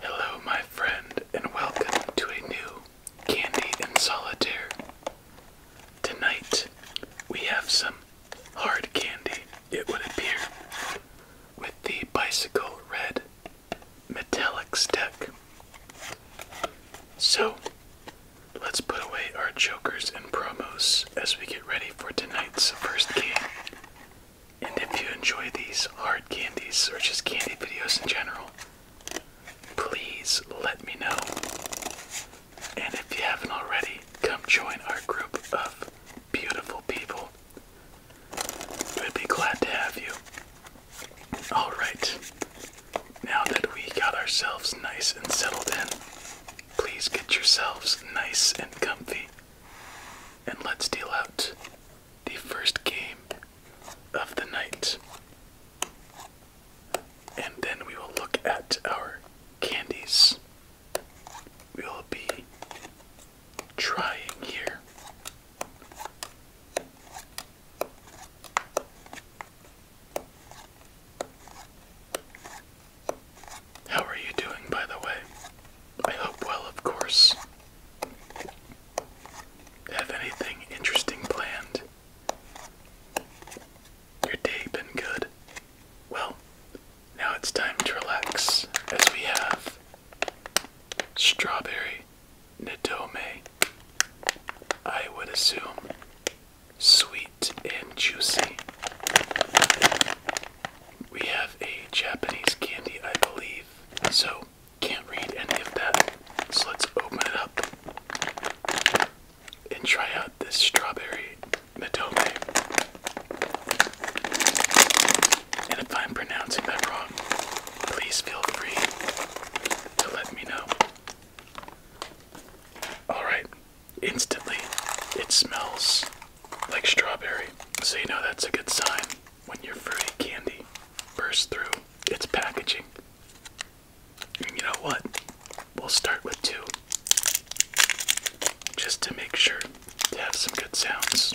Hello, my friend, and welcome to a new Candy in Solitaire. Tonight, we have some hard candy, it would appear, with the Bicycle Red Metallics deck. So, let's put away our jokers and promos as we get ready for tonight's first game. And if you enjoy these hard candies or just candy videos in general, please let me know. And if you haven't already, come join our group of beautiful people. We'd be glad to have you. Alright, now that we got ourselves nice and settled in, please get yourselves nice and comfy and let's deal out the first game of the night. And then we will look at our candies. We will be trying here. How are you doing, by the way? I hope well, of course. Have anything interesting planned? Your day been good? Well, now it's time to relax as we have strawberry Nadome. I would assume sweet and juicy. We have a Japanese candy, I believe, so can't read any of that. So let's open it up and try out this strawberry Midome. And if I'm pronouncing that wrong, please feel free to let me know. Alright, instantly it smells like strawberry. So you know that's a good sign when your fruity candy bursts through its packaging. And you know what? We'll start with two. Just to make sure to have some good sounds.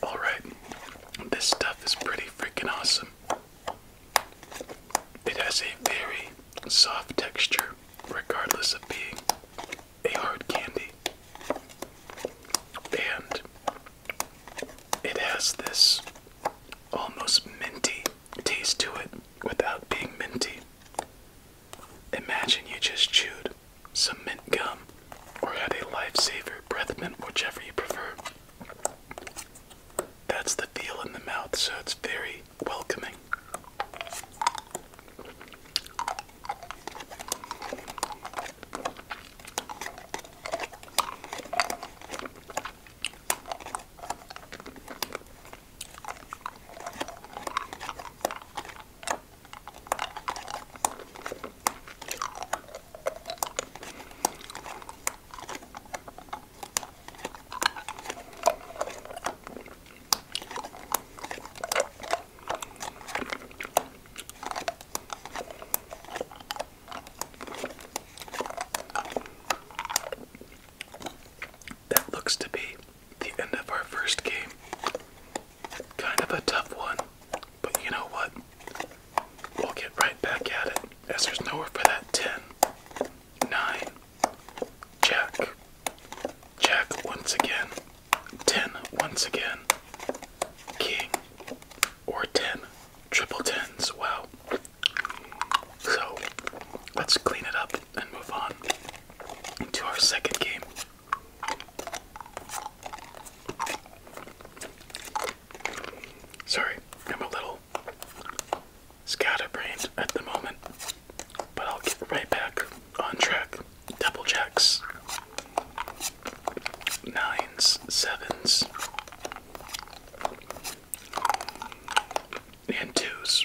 All right, this stuff is pretty freaking awesome. It has a very soft texture, regardless of being a hard candy. And it has this almost minty taste to it without being minty. Imagine you just chewed some mint gum or had a lifesaver breath mint, whichever you prefer. That's the feel in the mouth, so it's very welcoming. That looks to be the end of our first game. Kind of a tough one, but you know what? we'll get right back at it as there's nowhere for that 10, Jack, Jack once again, 10 once again, King, or 10, triple tens. Wow. So let's clean it up and move on into our second game. Sorry, I'm a little scatterbrained at the moment, but I'll get right back on track. Double checks, nines, sevens, and twos.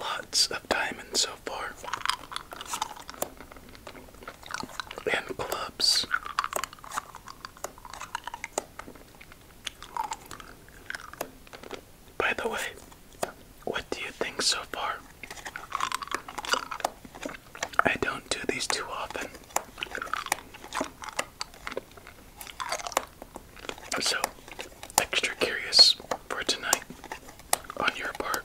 lots of diamonds so far. And clubs. By the way, what do you think so far? I don't do these too often. So, extra curious for tonight on your part.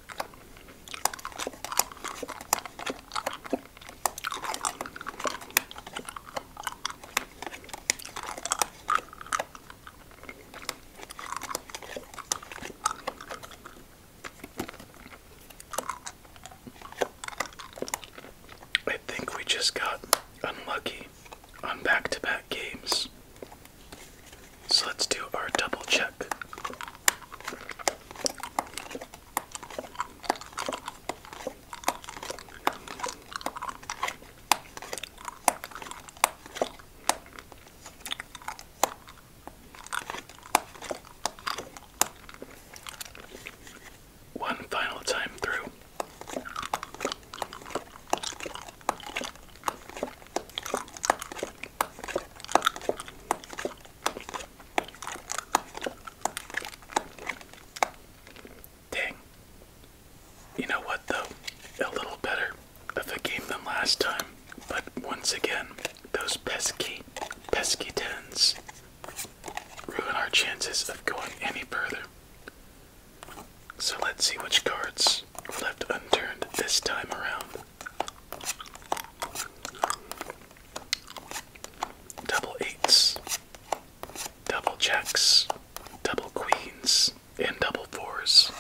I think we just got unlucky on back to back games. So let's do our double check. One final time through. Dang. You know what, though? A little better of a game than last time. But once again, those pesky, pesky tens ruin our chances of going any further. So let's see which cards left unturned this time around. Double eights, double checks, double queens, and double fours.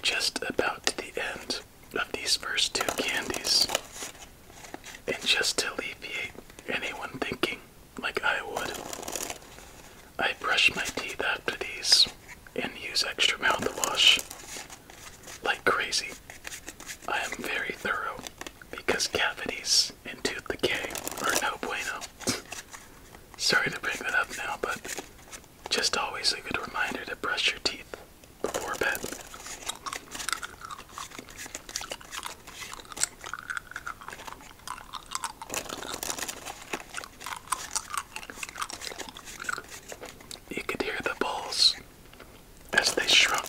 Just about to the end of these first two candies. And just to alleviate anyone thinking like I would. I brush my teeth after these and use extra mouthwash like crazy. I am very thorough because cavities and tooth decay are no bueno. Sorry to bring that up now, but just always a good reminder to brush your teeth before bed. You could hear the balls as they shrunk.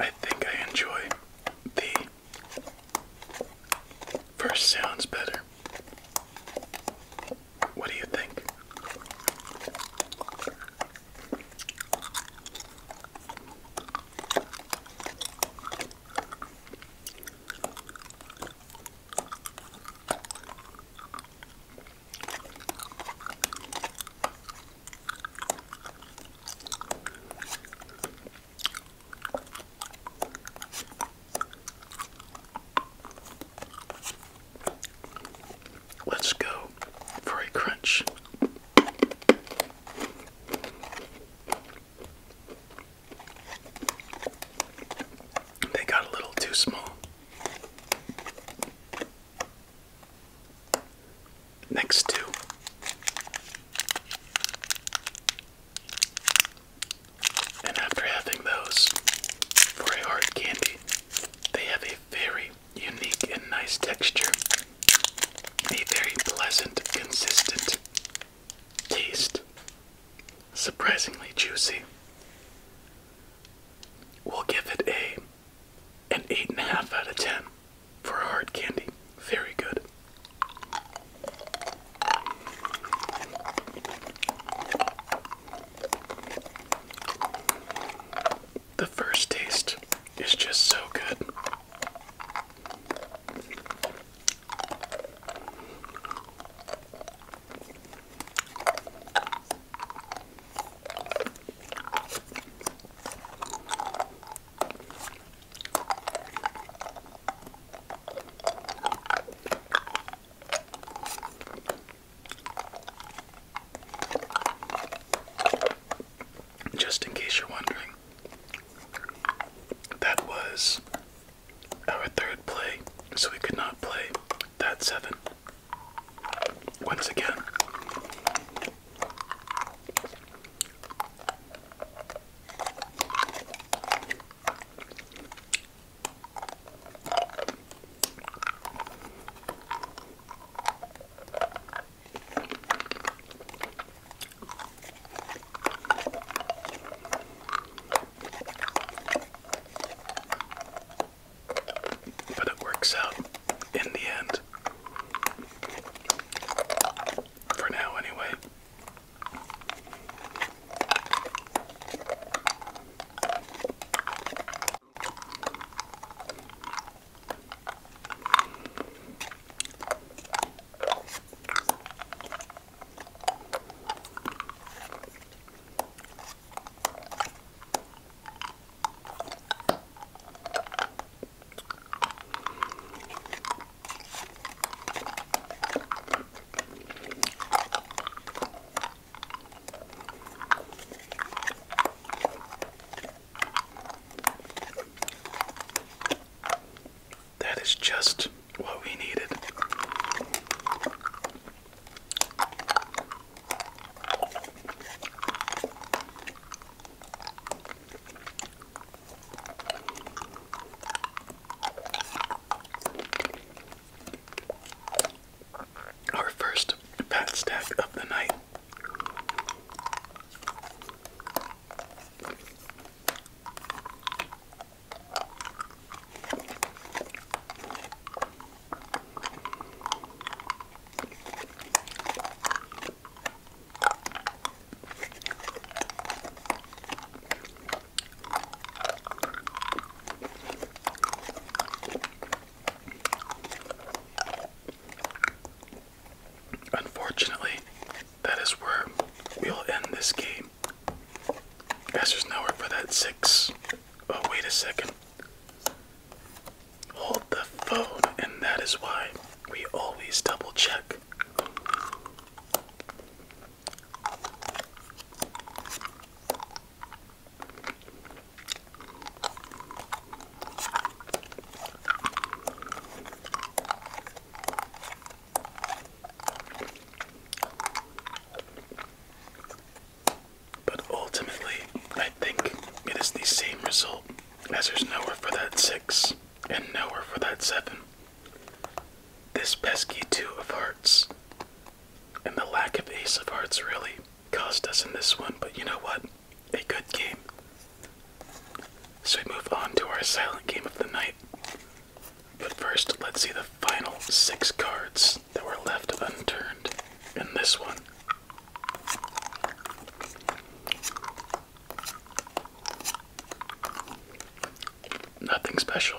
I think I enjoy the first sounds better. What do you think? Let's go for a crunch. They got a little too small. Next two. And after having those for a hard candy, they have a very unique and nice texture, a very pleasant, consistent taste, surprisingly juicy. We'll give it a an 8.5 out of 10 for hard candy. Very good. The first taste is just so good. Just in case you're wondering, that was our third play, so we could not play that seven. Once again, but it works out in the end. For now, anyway. That is just what we needed. Our first pat stack of the night. Unfortunately, that is where we'll end this game. As there's nowhere for that six. Oh, wait a second hold the phone, and that is why we always double check. But ultimately, I think it is the same result as there's nowhere for that 6 and nowhere for that 7. This pesky 2 of hearts and the lack of ace of hearts really cost us in this one, but you know what? A good game. So we move on to our silent game of the night. But first, let's see the final six cards that were left unturned in this one. Nothing special.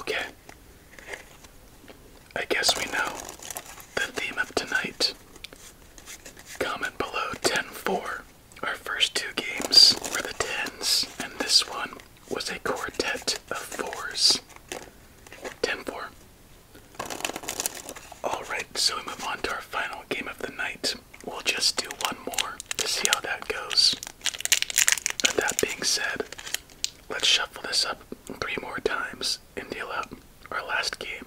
Okay. I guess we know the theme of tonight. Comment below 10 4. Our first two games were the 10s, and this one was a quartet of fours. ten four. Alright, so we move on to our final game of the night. We'll just do one more to see how that goes. But that being said, let's shuffle this up three more times and deal out our last game.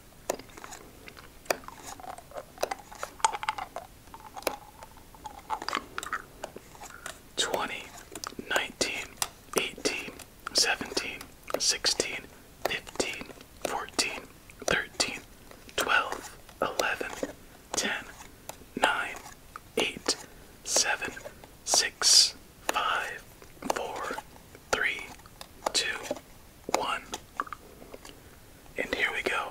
Twenty, nineteen, eighteen, seventeen, sixteen, fifteen, fourteen, thirteen, twelve, eleven, ten, nine, eight, seven, six, five, four, three, two, one. And here we go.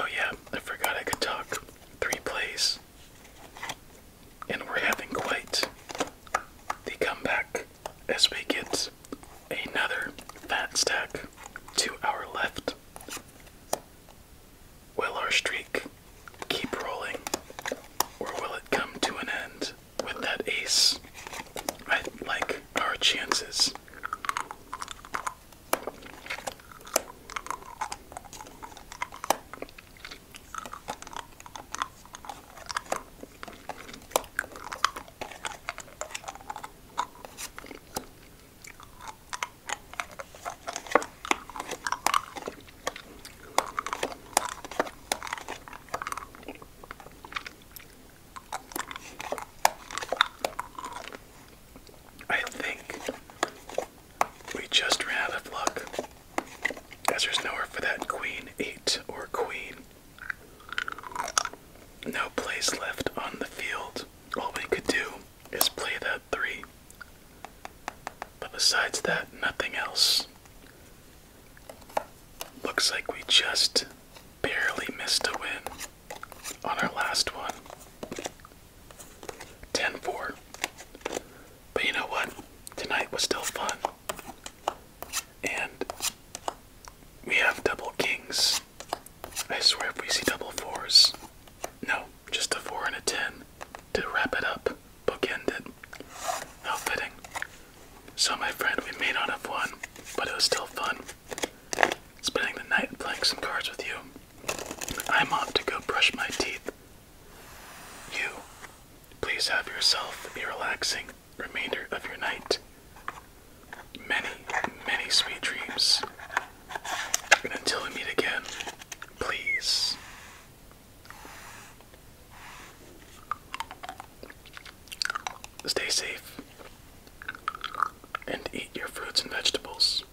Oh, yeah, I forgot I could talk three plays. And we're having quite the comeback as we get another fat stack to our left. Will our streak keep rolling, or will it come to an end? with that ace, I like our chances. I think we just ran out of luck, there's nowhere for that queen eight or queen. No place left on the field. All we could do is play that three. But besides that, nothing else. Looks like we just barely missed a win on our last one. 10 4. But you know what? Tonight was still fun. And we have double kings. I swear if we see double fours. No, just a 4 and a 10 to wrap it up, bookend it. How fitting. So, my friend, we may not have won, but it was still fun spending the night playing some cards with you. I'm off to go brush my teeth. You, please have yourself a relaxing remainder of your night. Many, many sweet dreams. And until we meet again, please Stay safe and eat your fruits and vegetables.